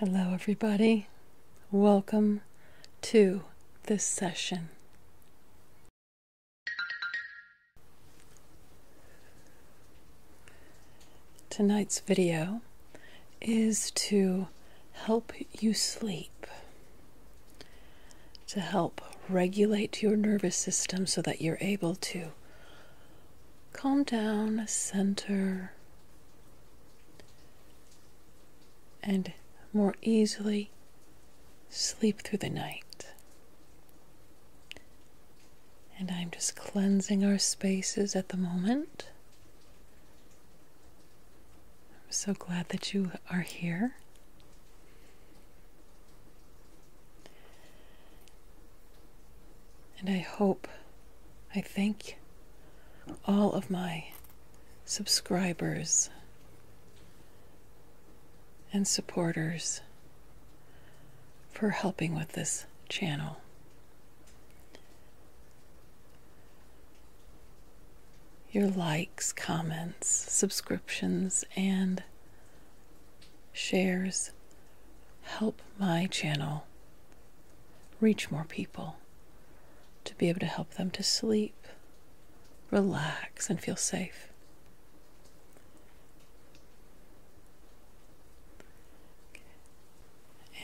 Hello, everybody. Welcome to this session. Tonight's video is to help you sleep, to help regulate your nervous system so that you're able to Calm down, center, and more easily sleep through the night. And I'm just cleansing our spaces at the moment. I'm so glad that you are here. And I hope, I thank all of my subscribers and supporters for helping with this channel. Your likes, comments, subscriptions, and shares help my channel reach more people to be able to help them to sleep, relax, and feel safe.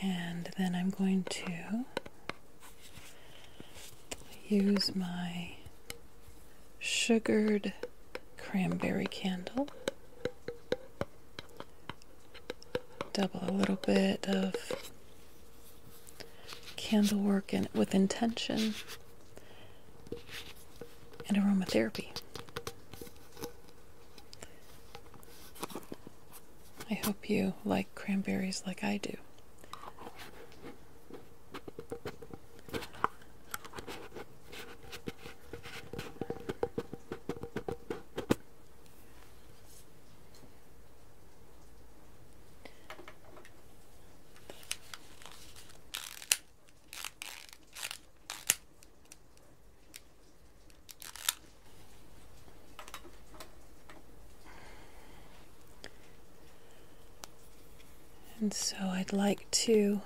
And then I'm going to use my sugared cranberry candle Double a little bit of candlework and with intention and aromatherapy. I hope you like cranberries like I do. And so I'd like to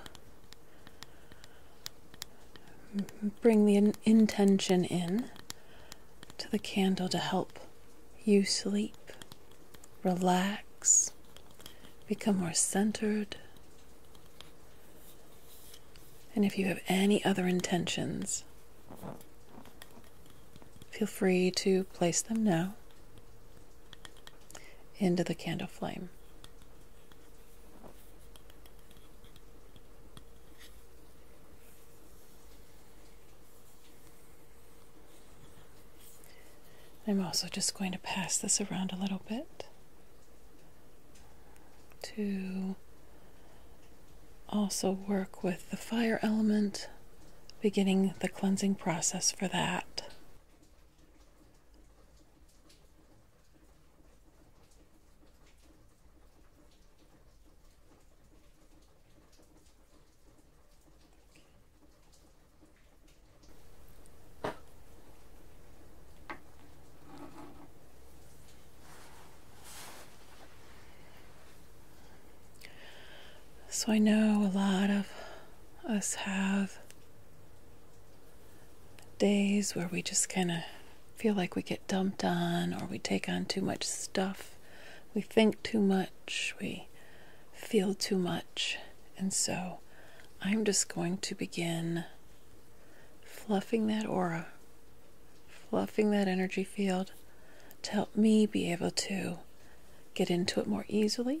bring the intention in to the candle to help you sleep, relax, become more centered. And if you have any other intentions, feel free to place them now into the candle flame. I'm also just going to pass this around a little bit to also work with the fire element, beginning the cleansing process for that. So I know a lot of us have days where we just kind of feel like we get dumped on or we take on too much stuff. We think too much. We feel too much. And so I'm just going to begin fluffing that aura, fluffing that energy field to help me be able to get into it more easily.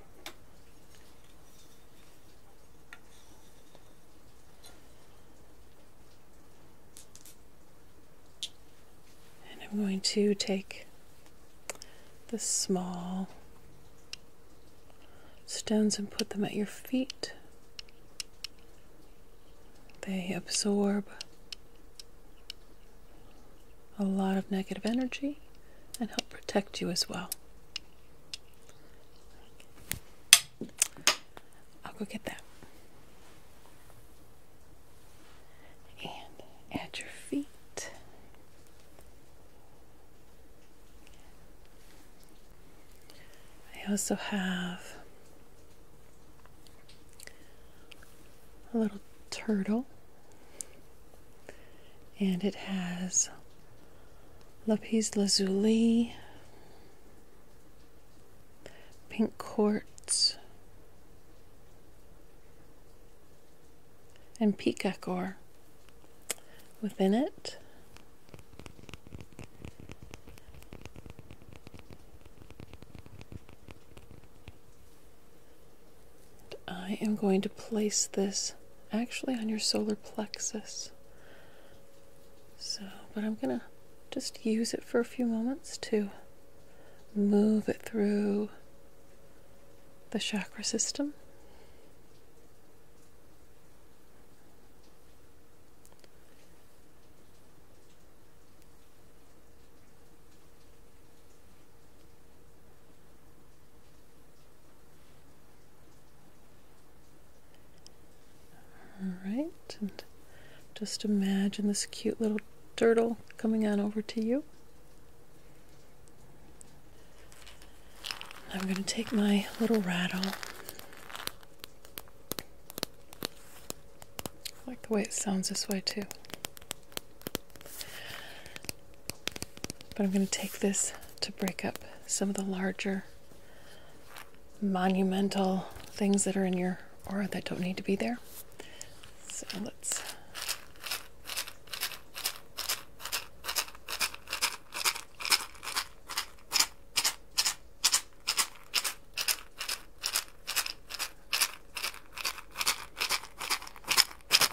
And I'm going to take the small stones and put them at your feet. They absorb a lot of negative energy and help protect you as well. I'll go get that. And at your feet. I also have a little turtle and it has lapis lazuli, pink quartz, and peacock ore within it. I am going to place this actually on your solar plexus. So, but I'm going to just use it for a few moments to move it through the chakra system. All right, just imagine this cute little turtle coming on over to you. I'm going to take my little rattle. like the way it sounds this way too. But I'm going to take this to break up some of the larger monumental things that are in your aura that don't need to be there. So let's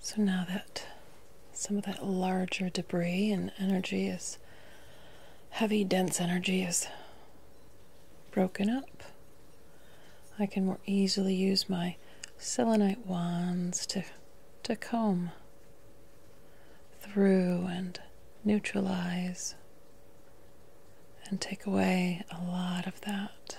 So now that some of that larger debris and energy is heavy, dense energy is broken up. I can more easily use my selenite wands to, to comb through and neutralize and take away a lot of that.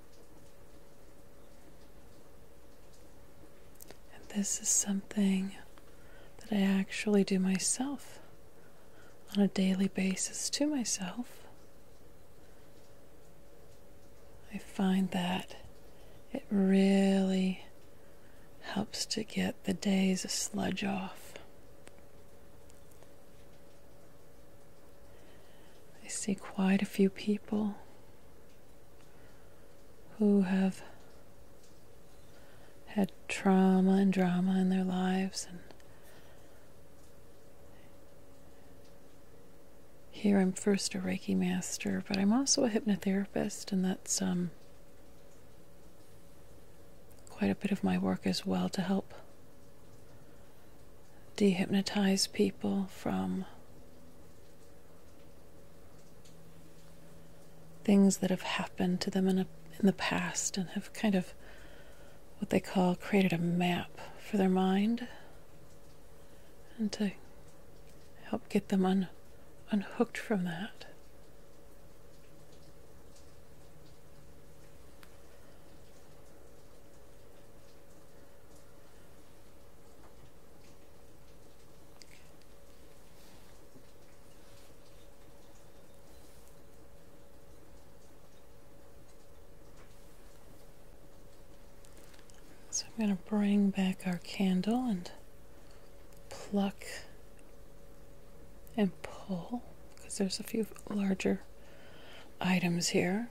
And this is something that I actually do myself on a daily basis to myself. I find that it really helps to get the days sludge off. I see quite a few people who have had trauma and drama in their lives and here I'm first a Reiki master, but I'm also a hypnotherapist and that's um, quite a bit of my work as well to help dehypnotize people from Things that have happened to them in, in the past and have kind of what they call created a map for their mind and to help get them un, unhooked from that. So I'm going to bring back our candle and pluck and pull because there's a few larger items here.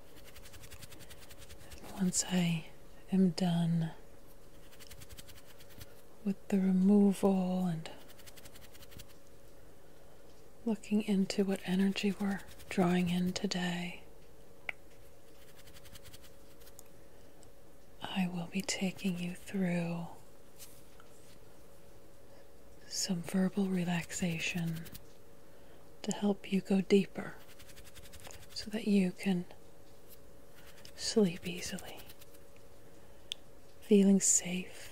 once I am done with the removal and looking into what energy we're drawing in today, I will be taking you through some verbal relaxation to help you go deeper so that you can sleep easily, feeling safe.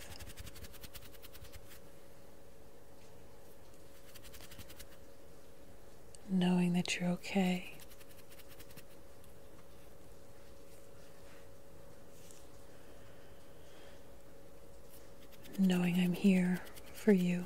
Knowing that you're okay. knowing I'm here for you.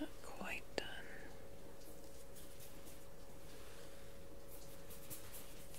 Not quite done.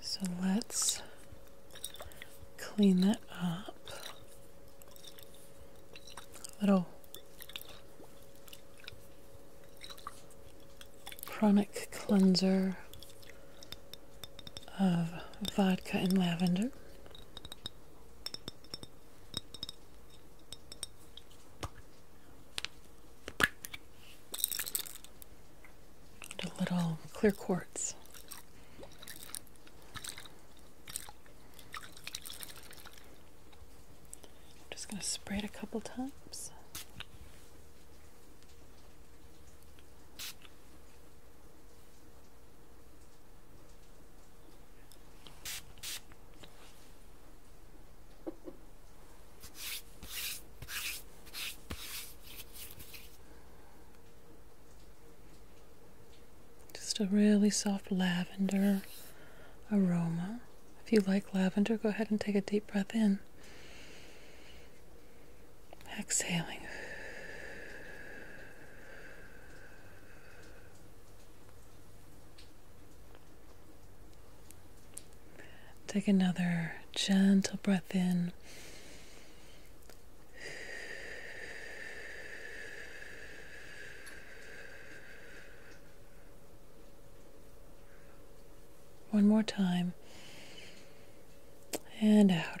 So let's clean that up. Little Chronic cleanser of vodka and lavender. a little clear quartz. I'm just going to spray it a couple times. Just a really soft lavender aroma. If you like lavender, go ahead and take a deep breath in. Exhaling. Take another gentle breath in. One more time. And out.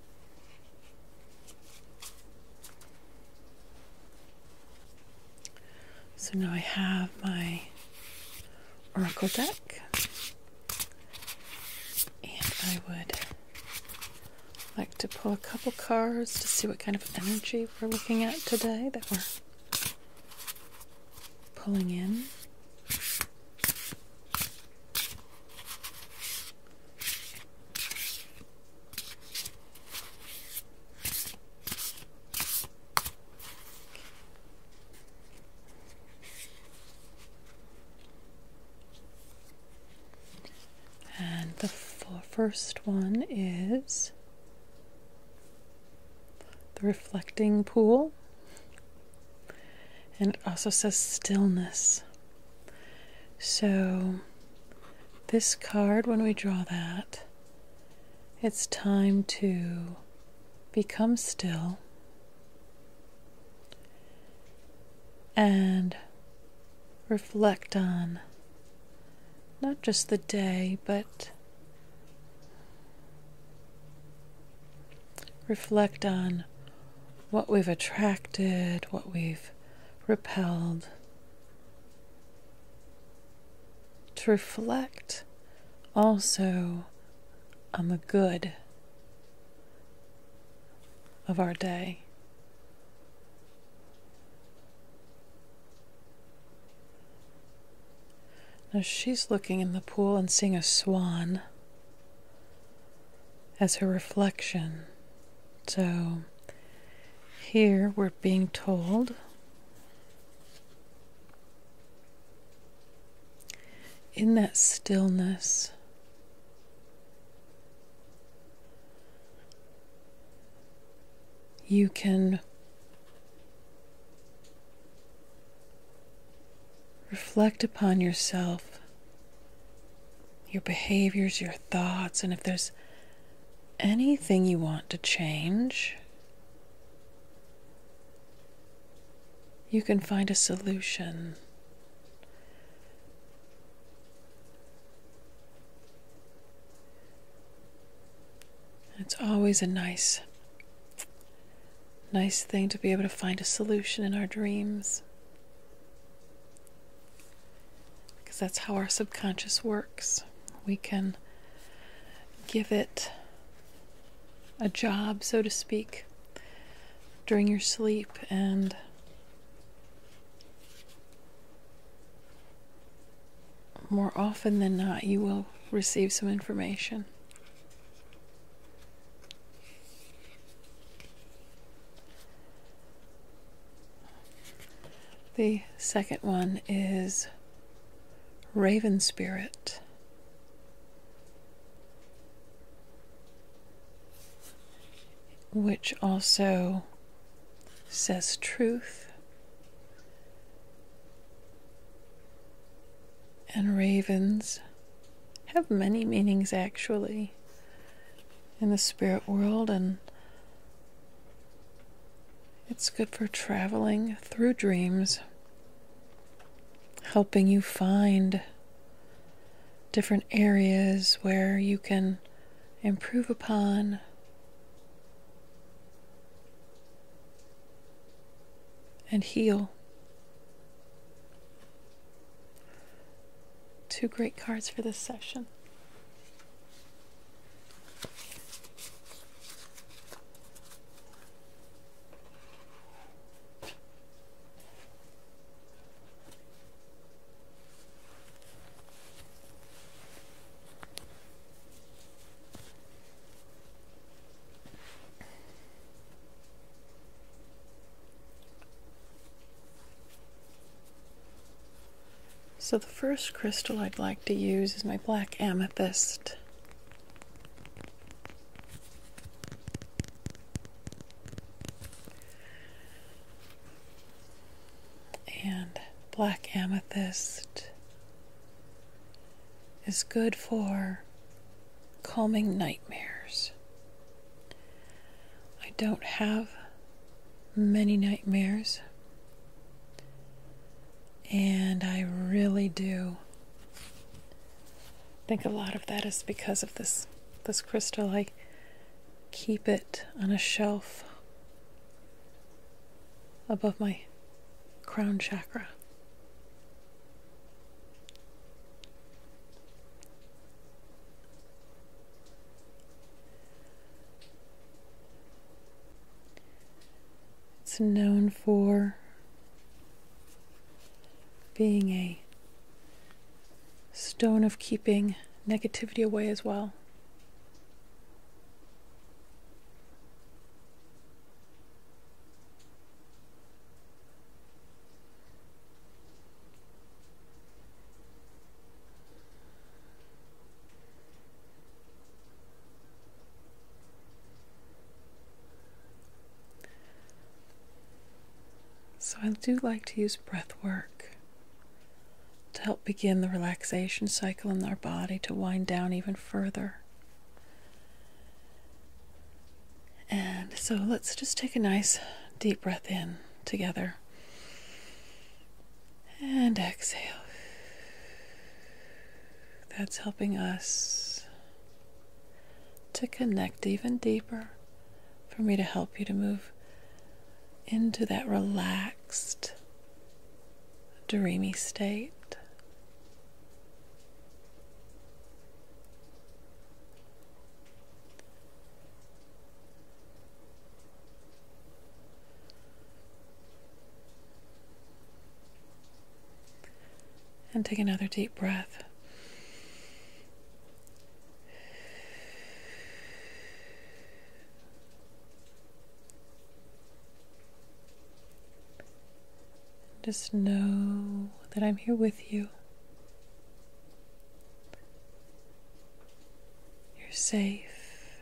So now I have my oracle deck, and I would like to pull a couple cards to see what kind of energy we're looking at today that we're pulling in. And the first one is the reflecting pool. And it also says stillness. So, this card, when we draw that, it's time to become still and reflect on not just the day, but reflect on what we've attracted, what we've repelled. To reflect also on the good of our day. Now she's looking in the pool and seeing a swan as her reflection. So here we're being told in that stillness. You can reflect upon yourself your behaviors, your thoughts, and if there's anything you want to change, you can find a solution. It's always a nice, nice thing to be able to find a solution in our dreams. Because that's how our subconscious works. We can give it a job, so to speak, during your sleep and more often than not, you will receive some information. The second one is Raven Spirit. Which also says truth. And ravens have many meanings actually in the spirit world, and it's good for traveling through dreams, helping you find different areas where you can improve upon. And heal. Two great cards for this session. So the first crystal I'd like to use is my black amethyst. And black amethyst is good for calming nightmares. I don't have many nightmares. And I really do think a lot of that is because of this this crystal. I keep it on a shelf above my crown chakra. It's known for being a stone of keeping negativity away as well. So, I do like to use breath work to help begin the relaxation cycle in our body to wind down even further. And so, let's just take a nice deep breath in together. And exhale. That's helping us to connect even deeper for me to help you to move into that relaxed, dreamy state. And take another deep breath. Just know that I'm here with you. You're safe,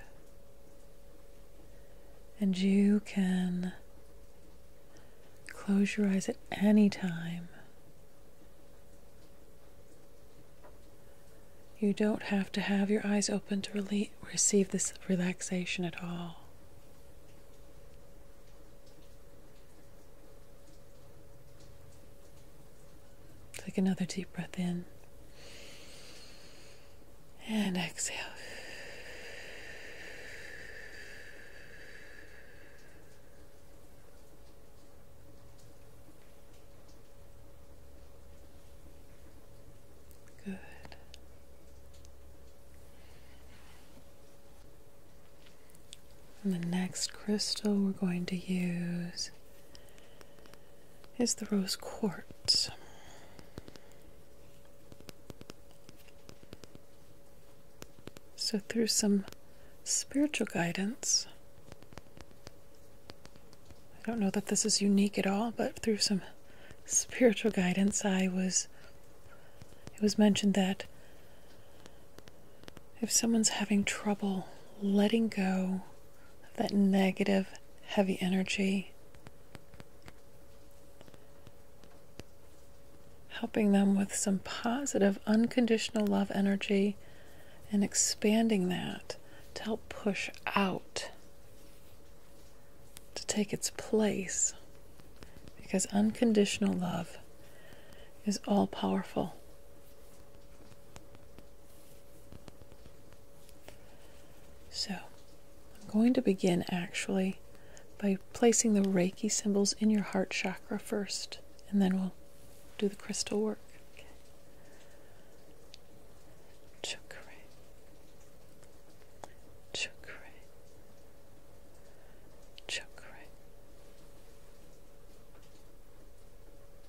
and you can close your eyes at any time. You don't have to have your eyes open to receive this relaxation at all. Take another deep breath in and exhale. Good. And the next crystal we're going to use is the rose quartz. So, through some spiritual guidance, I don't know that this is unique at all, but through some spiritual guidance, I was. It was mentioned that if someone's having trouble letting go of that negative, heavy energy. Helping them with some positive, unconditional love energy and expanding that to help push out, to take its place. Because unconditional love is all powerful. So, I'm going to begin actually by placing the Reiki symbols in your heart chakra first, and then we'll do the crystal work. Chakra. Chakra. Chakra.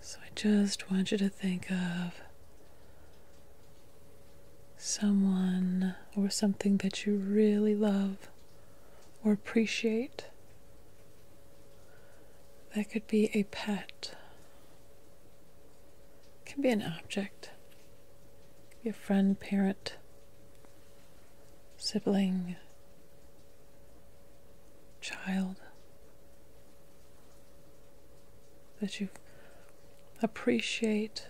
so I just want you to think of someone or something that you really love or appreciate. That could be a pet. It can be an object. It be a friend, parent sibling, child, that you appreciate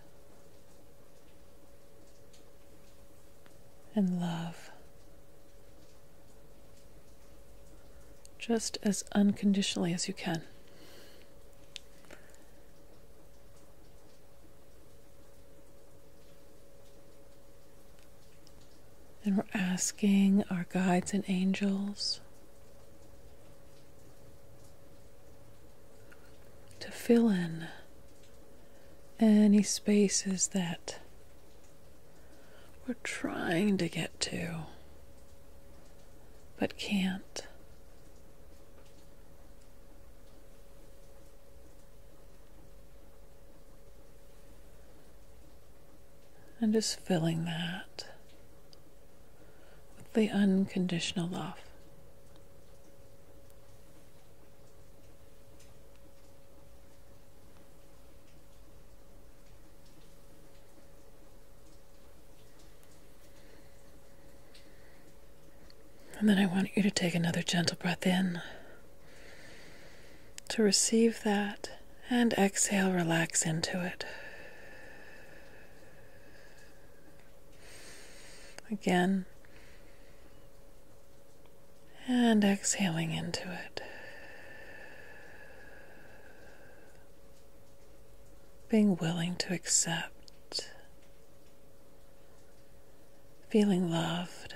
and love. Just as unconditionally as you can. And we're asking our guides and angels to fill in any spaces that we're trying to get to but can't. And just filling that with the unconditional love. And then I want you to take another gentle breath in to receive that and exhale, relax into it. Again, and exhaling into it. Being willing to accept, feeling loved,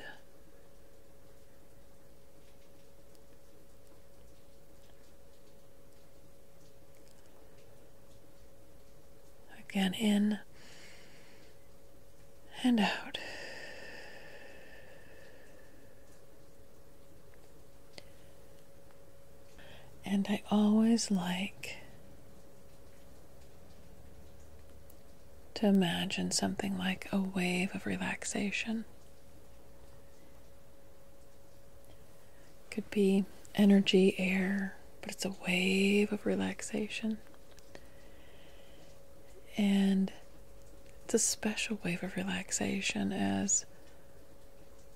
Again, in and out. And I always like to imagine something like a wave of relaxation could be energy, air, but it's a wave of relaxation. And it's a special wave of relaxation as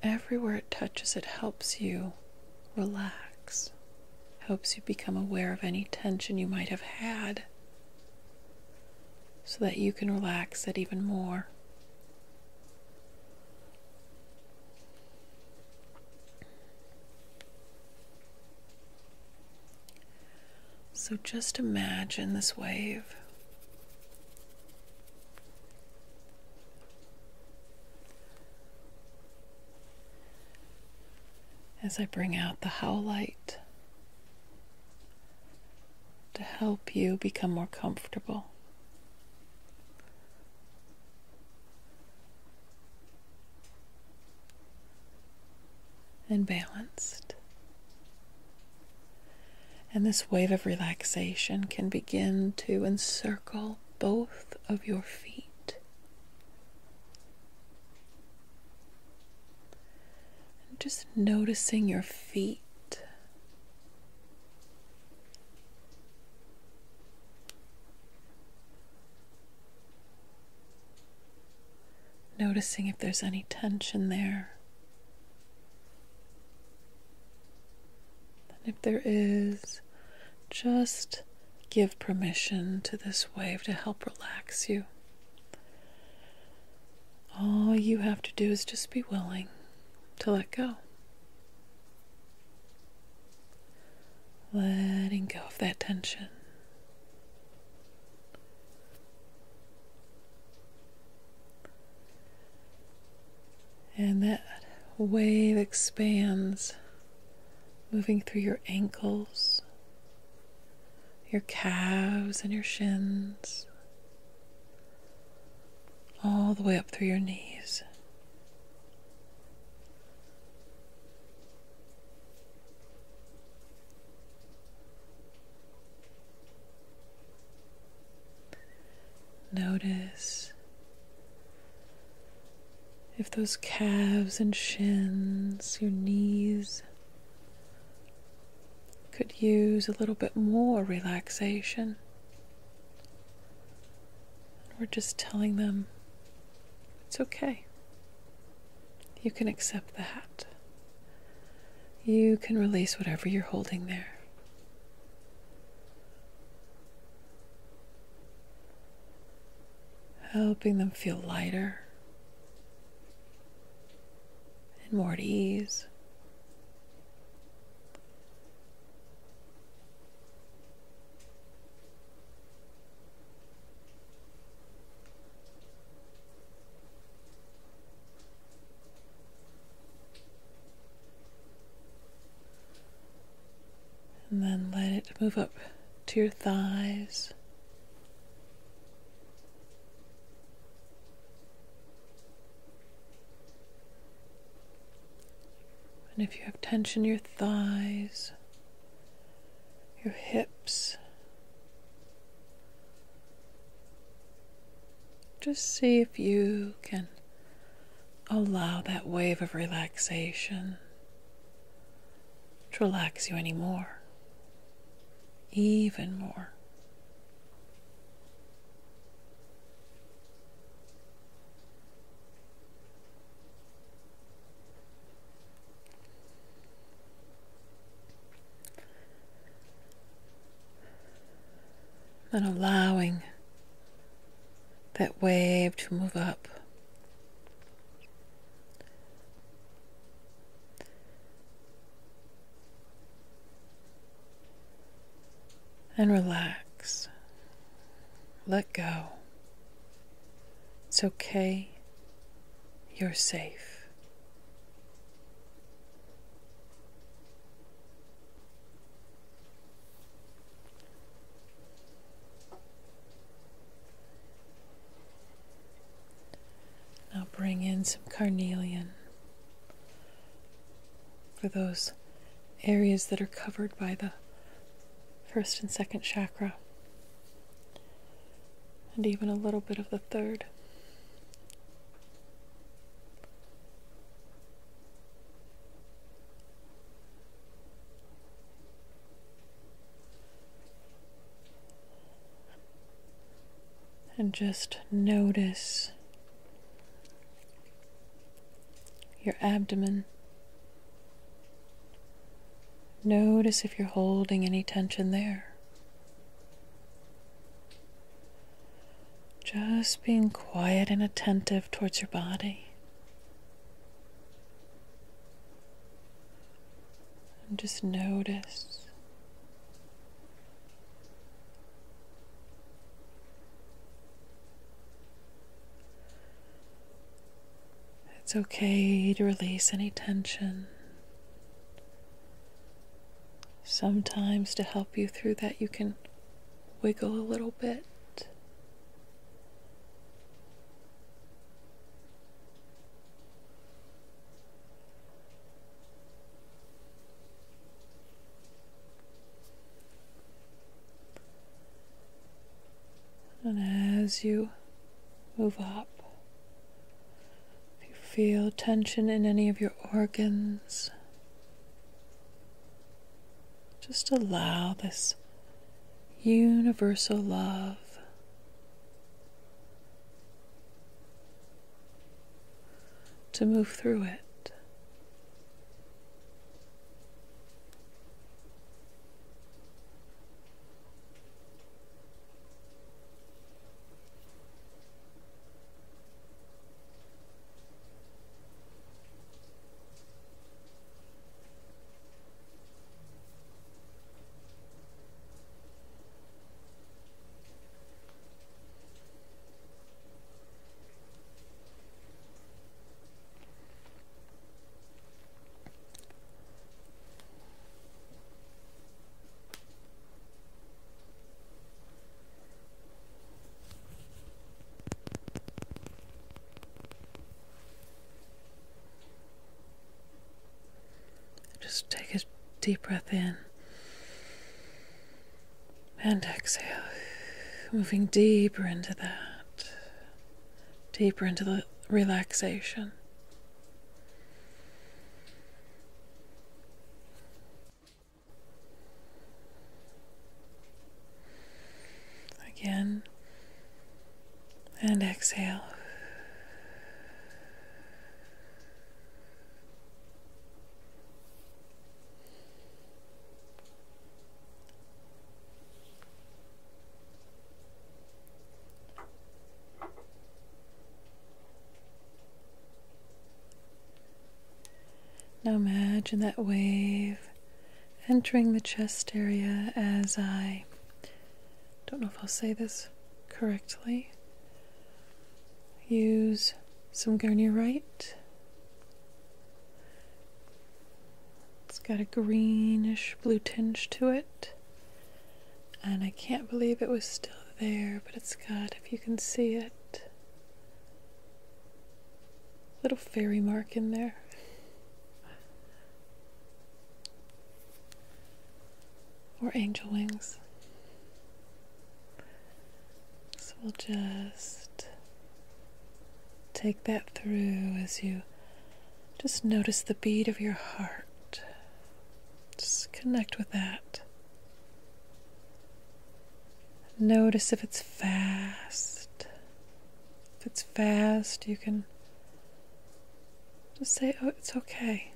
everywhere it touches, it helps you relax, helps you become aware of any tension you might have had so that you can relax it even more. So just imagine this wave. As I bring out the howlite to help you become more comfortable. And balanced. And this wave of relaxation can begin to encircle both of your feet just noticing your feet. Noticing if there's any tension there. And if there is, just give permission to this wave to help relax you. All you have to do is just be willing to let go. Letting go of that tension. And that wave expands, moving through your ankles, your calves, and your shins, all the way up through your knees. Notice if those calves and shins, your knees, could use a little bit more relaxation. We're just telling them it's okay. You can accept that. You can release whatever you're holding there. helping them feel lighter, and more at ease. And then let it move up to your thighs. And if you have tension, in your thighs, your hips, just see if you can allow that wave of relaxation to relax you any more, even more and allowing that wave to move up. And relax. Let go. It's okay. You're safe. Now bring in some carnelian for those areas that are covered by the first and second chakra, and even a little bit of the third and just notice your abdomen. Notice if you're holding any tension there. Just being quiet and attentive towards your body. And just notice it's okay to release any tension. Sometimes, to help you through that, you can wiggle a little bit. And as you move up, if you feel tension in any of your organs, just allow this universal love to move through it. Just take a deep breath in and exhale, moving deeper into that, deeper into the relaxation. Again, and exhale. Now imagine that wave entering the chest area as I don't know if I'll say this correctly use some Garnierite. It's got a greenish blue tinge to it. And I can't believe it was still there, but it's got, if you can see it, little fairy mark in there. Or angel wings. So we'll just take that through as you just notice the beat of your heart. Just connect with that. Notice if it's fast. If it's fast, you can just say, oh, it's okay.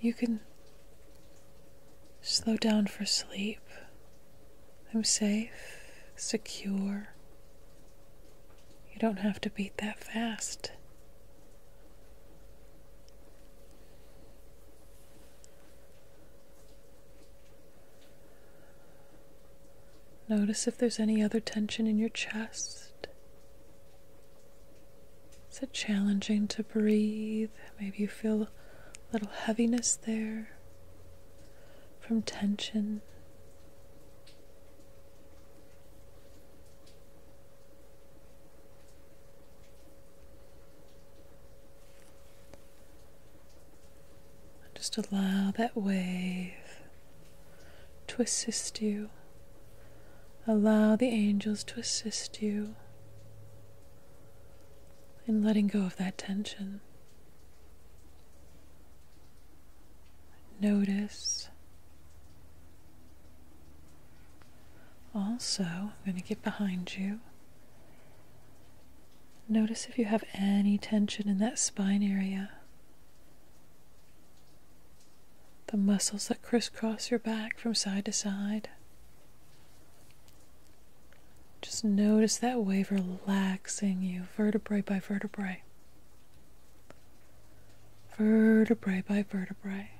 You can slow down for sleep. I'm safe, secure. You don't have to beat that fast. Notice if there's any other tension in your chest is it challenging to breathe? Maybe you feel a little heaviness there from tension. Just allow that wave to assist you Allow the angels to assist you in letting go of that tension. Notice. Also, I'm going to get behind you. Notice if you have any tension in that spine area. The muscles that crisscross your back from side to side. Just notice that wave relaxing you vertebrae by vertebrae, vertebrae by vertebrae.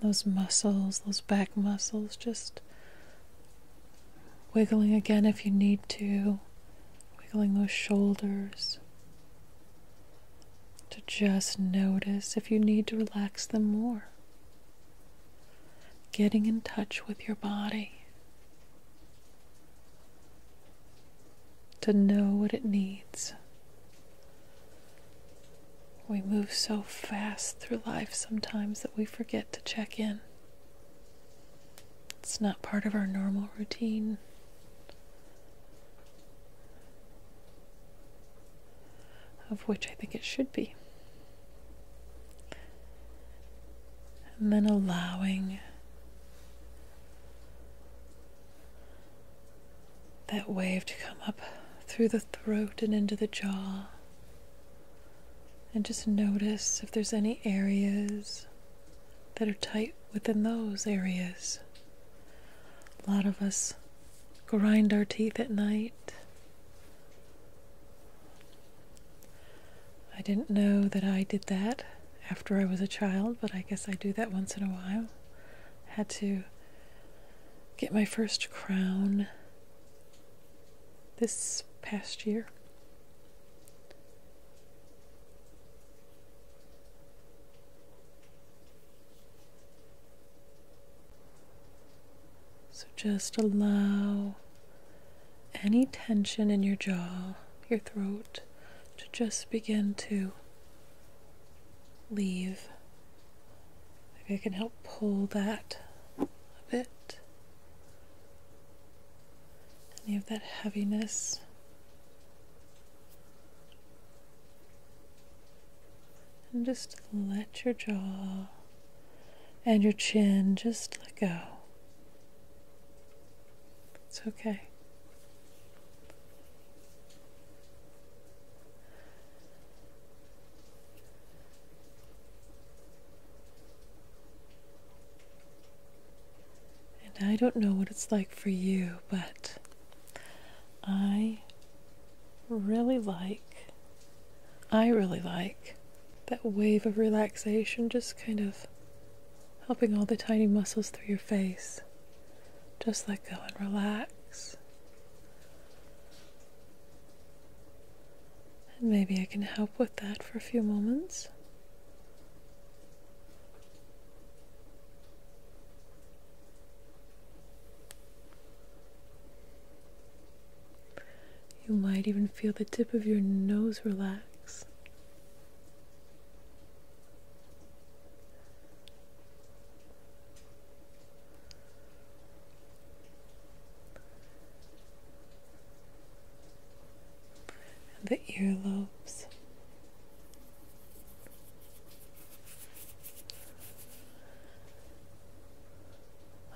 Those muscles, those back muscles, just Wiggling again if you need to, wiggling those shoulders to just notice if you need to relax them more. Getting in touch with your body to know what it needs. We move so fast through life sometimes that we forget to check in. It's not part of our normal routine. Of which I think it should be. And then allowing that wave to come up through the throat and into the jaw. And just notice if there's any areas that are tight within those areas. A lot of us grind our teeth at night. I didn't know that I did that after I was a child, but I guess I do that once in a while. I had to get my first crown this past year. So just allow any tension in your jaw, your throat, to just begin to leave. Maybe I can help pull that a bit any of that heaviness. And just let your jaw and your chin just let go. It's okay. And I don't know what it's like for you, but I really like, I really like that wave of relaxation just kind of helping all the tiny muscles through your face. Just let go and relax. And maybe I can help with that for a few moments. You might even feel the tip of your nose relax and the earlobes.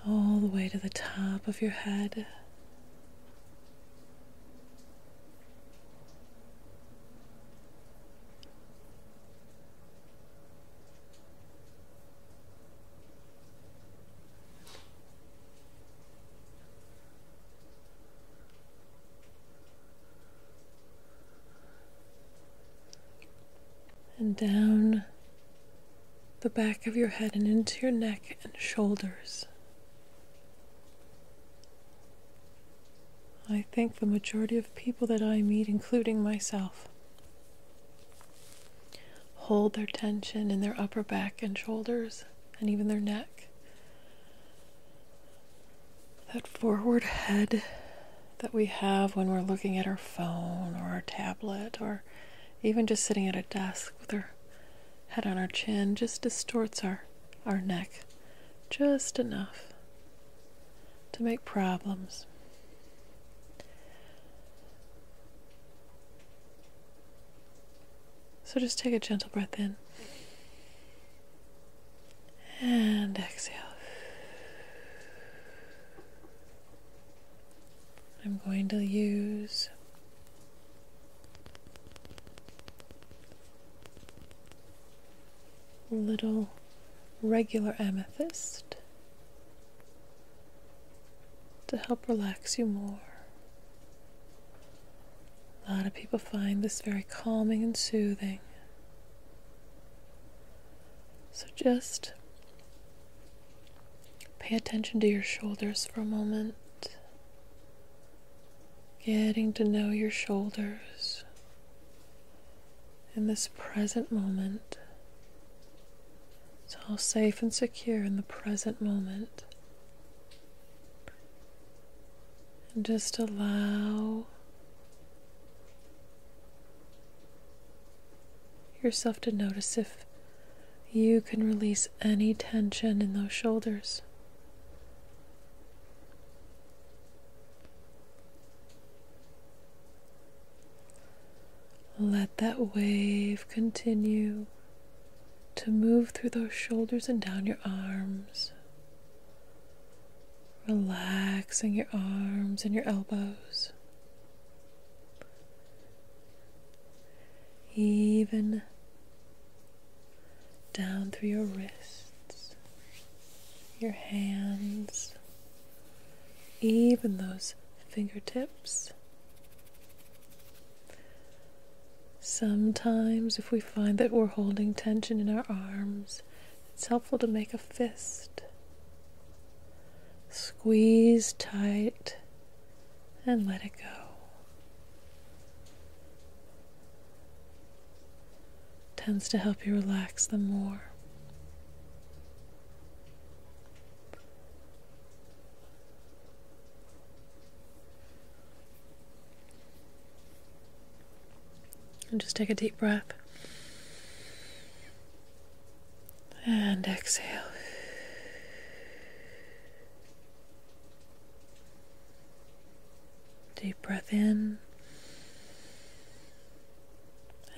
All the way to the top of your head and down the back of your head and into your neck and shoulders. I think the majority of people that I meet, including myself, hold their tension in their upper back and shoulders and even their neck. That forward head that we have when we're looking at our phone or our tablet or even just sitting at a desk with our head on our chin just distorts our, our neck just enough to make problems. So just take a gentle breath in and exhale. I'm going to use little regular amethyst to help relax you more. A lot of people find this very calming and soothing. So just pay attention to your shoulders for a moment, getting to know your shoulders in this present moment. It's all safe and secure in the present moment. And just allow yourself to notice if you can release any tension in those shoulders. Let that wave continue to move through those shoulders and down your arms. Relaxing your arms and your elbows. Even down through your wrists, your hands, even those fingertips. Sometimes, if we find that we're holding tension in our arms, it's helpful to make a fist. Squeeze tight and let it go. Tends to help you relax them more. And just take a deep breath. And exhale. Deep breath in.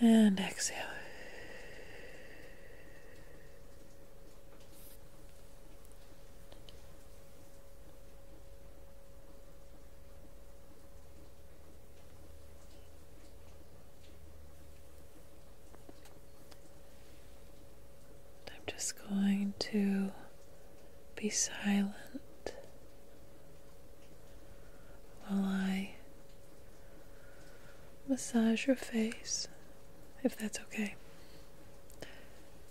And exhale. I'm just going to be silent while I massage your face, if that's okay.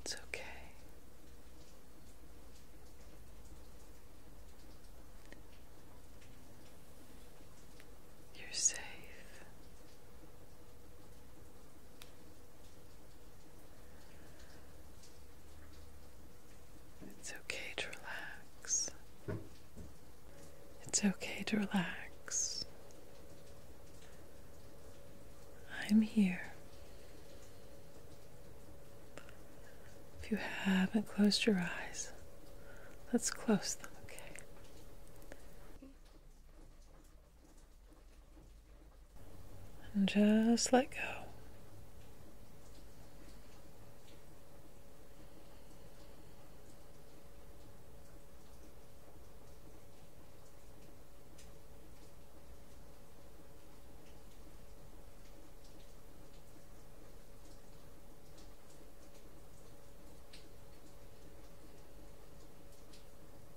It's okay. You're safe. It's okay to relax. It's okay to relax. I'm here. If you haven't closed your eyes, let's close them, okay? And just let go.